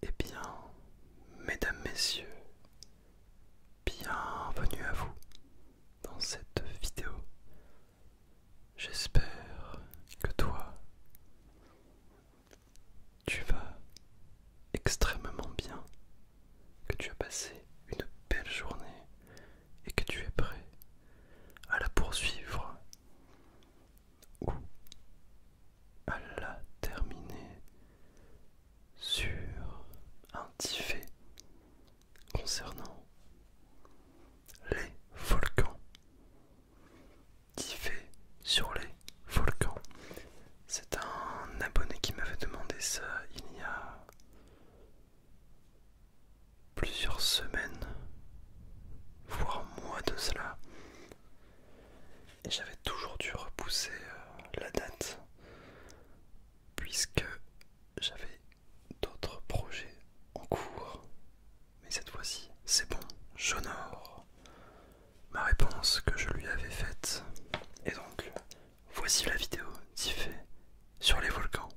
Eh bien, mesdames, messieurs, bienvenue à vous dans cette vidéo. J'espère que toi, tu vas extrêmement bien, que tu as passé une belle journée et que tu es prêt à la poursuivre à la terminer sur un petit concernant les volcans. Tiffet sur les volcans. C'est un abonné qui m'avait demandé ça il y a plusieurs semaines, voire mois de cela. Et j'avais toujours dû repousser euh, la date puisque j'avais d'autres projets en cours. Mais cette fois-ci, c'est bon, j'honore ma réponse que je lui avais faite. Et donc, voici la vidéo d'Ifé sur les volcans.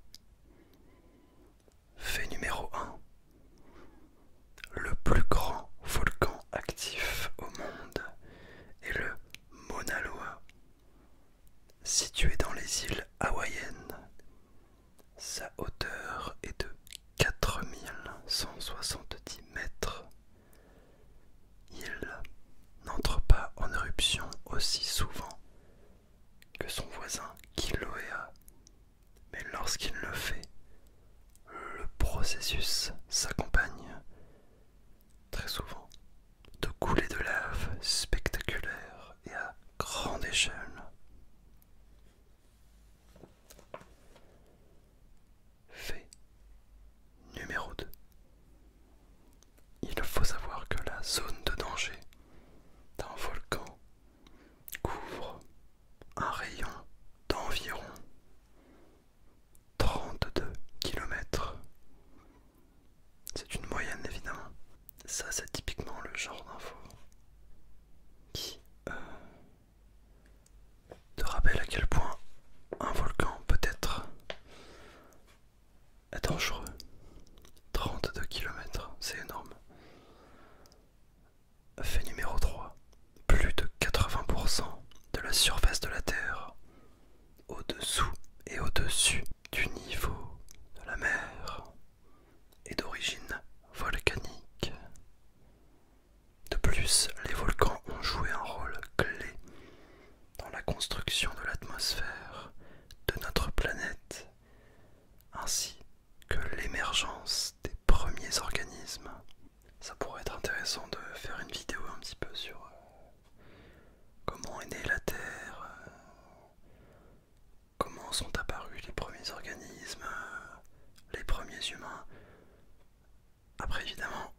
Fait numéro 1. Le plus grand volcan actif au monde est le Mauna Loa, situé dans les îles hawaïennes. Sa hauteur est de 4170 mètres. Il n'entre pas en éruption aussi souvent que son voisin Kilauea, mais lorsqu'il le fait, le processus s'accompagne très souvent de coulées de lave spectaculaires et à grande échelle. Fait numéro 2. Il faut savoir que la zone de danger d'un volcan couvre un rayon d'environ 32 km. C'est une moyenne évidemment. Ça c'est typiquement le genre d'info qui euh, te rappelle à quel point un volcan peut être dangereux. 32 km, c'est énorme. Fait numéro 3. Plus de 80% de la surface de la Terre au-dessous et au-dessus du niveau de la mer est d'origine volcanique. De plus, les volcans ont joué un rôle clé dans la construction de l'atmosphère de notre planète, ainsi que l'émergence des premiers organismes ça pourrait être intéressant de faire une vidéo un petit peu sur euh, comment est née la Terre, euh, comment sont apparus les premiers organismes, euh, les premiers humains. Après évidemment,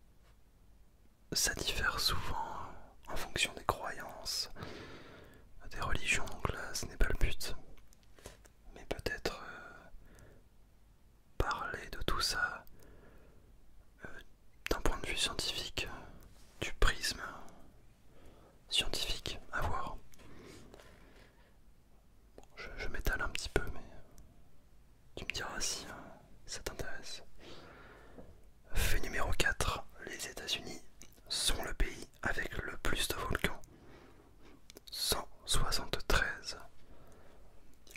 ça diffère souvent en fonction des croyances, des religions, donc là ce n'est pas le but. Mais peut-être parler de tout ça euh, d'un point de vue scientifique, du prisme scientifique à voir. je, m'étale un petit peu, mais tu me diras si hein, ça t'intéresse. Fait numéro 4. Les États-Unis sont le pays avec le plus de volcans. 173.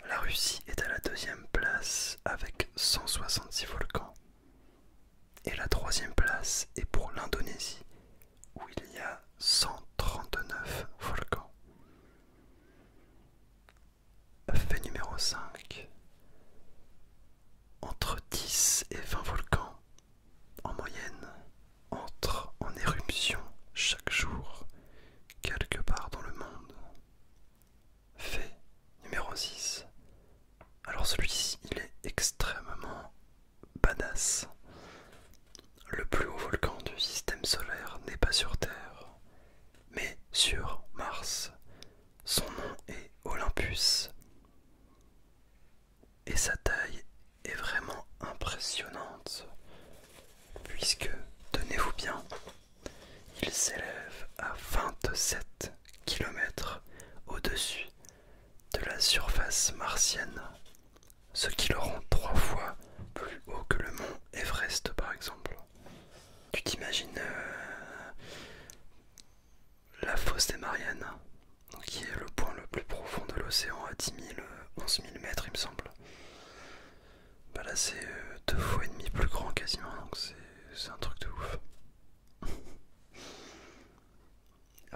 La Russie est à la deuxième place avec 166 volcans. Et la troisième place est pour l'Indonésie, où il y a 139 volcans. Fait numéro 5. Entre 10 et 20 volcans, en moyenne, entrent en éruption chaque jour quelque part dans le monde. Fait numéro 6. Alors celui-ci, il est extrêmement badass. Le plus haut volcan du système solaire n'est pas sur Terre, mais sur Mars. Son nom est Olympus. Et sa taille est vraiment impressionnante puisque, tenez-vous bien, il s'élève à 27 km au-dessus de la surface martienne, ce qui le rend trois fois plus haut que le mont Everest par exemple. Tu t'imagines euh, la fosse des Mariannes, hein, qui est le point le plus profond de l'océan à 10 000, 11 000 mètres il me semble. Bah là c'est euh, deux fois et demi plus grand quasiment donc c'est un truc de ouf.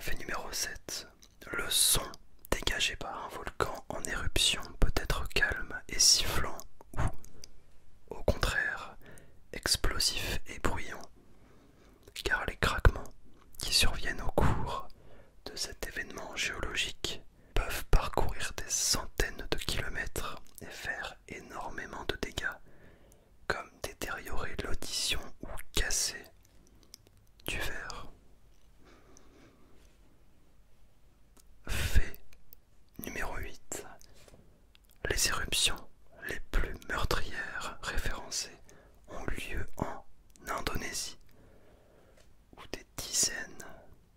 Fait numéro 7. Le son dégagé par un volcan en éruption peut être calme et sifflant ou, au contraire, explosif et bruyant, car les craquements qui surviennent au cours de cet événement géologique peuvent parcourir des centaines de kilomètres et faire énormément de dégâts, comme détériorer l'audition ou casser du verre. Fait numéro 8. Les éruptions les plus meurtrières référencées ont lieu en Indonésie, où des dizaines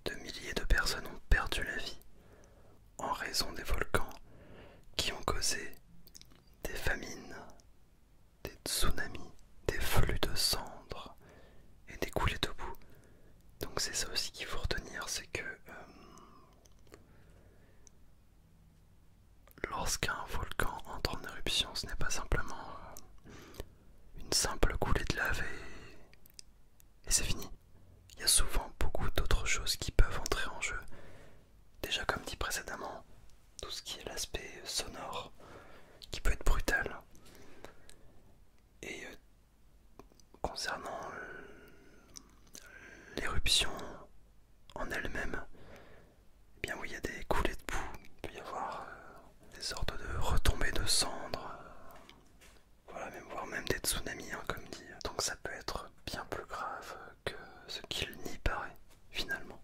de milliers de personnes ont perdu la vie en raison des volcans qui ont causé des famines, des tsunamis, des flux de cendres et des coulées de boue. Donc c'est ça aussi qu'il faut retenir, c'est que euh, lorsqu'un volcan entre en éruption, ce n'est pas simplement euh, une simple coulée de lave et, c'est fini. Il y a souvent beaucoup d'autres choses qui peuvent entrer en jeu. Déjà comme dit précédemment, tout ce qui est l'aspect sonore qui peut être brutal. Et euh, concernant l'éruption en elle-même, eh bien oui, il y a des coulées de boue, il peut y avoir euh, des sortes de retombées de cendres, voilà, même voire même des tsunamis, hein, comme dit. Donc ça peut être bien plus grave que ce qu'il n'y paraît, finalement.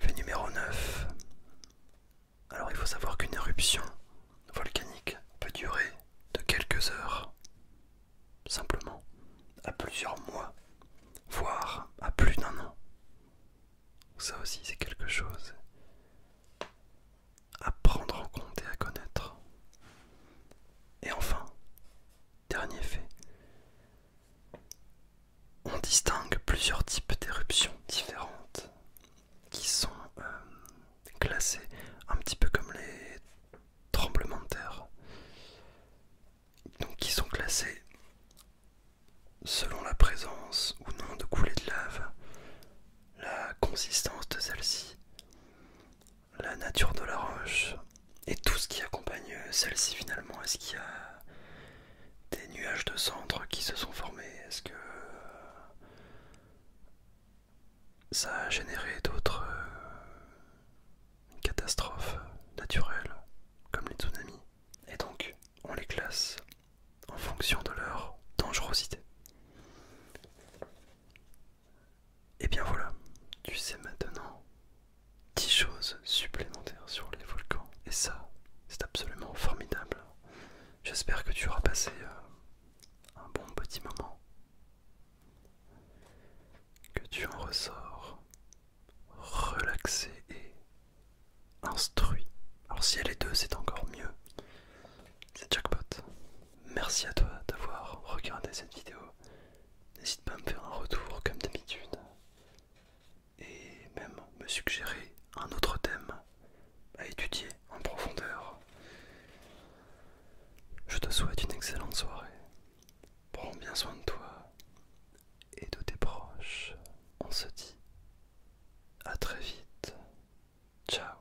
Fait numéro 9. Alors il faut savoir qu'une éruption volcanique peut durer de quelques heures, simplement, à plusieurs mois, voire à plus d'un an. Ça aussi, c'est quelque chose à prendre en compte et à connaître. Et enfin, dernier fait, on distingue plusieurs types d'éruptions différentes qui sont euh, classées un petit peu comme les tremblements de terre, donc qui sont classés... Selon la présence ou non de coulées de lave, la consistance de celle-ci, la nature de la roche et tout ce qui accompagne celle-ci finalement. Est-ce qu'il y a des nuages de cendres qui se sont formés Est-ce que ça a généré d'autres euh, catastrophes naturelles comme les tsunamis Et donc on les classe en fonction de leur dangerosité. Et bien voilà, tu sais maintenant 10 choses supplémentaires sur les volcans. Et ça, c'est absolument formidable. J'espère que tu auras passé euh, un bon petit moment. Que tu en ressors relaxé et instruit. Alors si elle est deux, c'est encore mieux. C'est jackpot. Merci à toi d'avoir regardé cette vidéo. N'hésite pas à me faire un retour comme d'habitude. Et même me suggérer un autre thème à étudier en profondeur. Je te souhaite une excellente soirée. Prends bien soin de toi et de tes proches. On se dit à très vite. Ciao.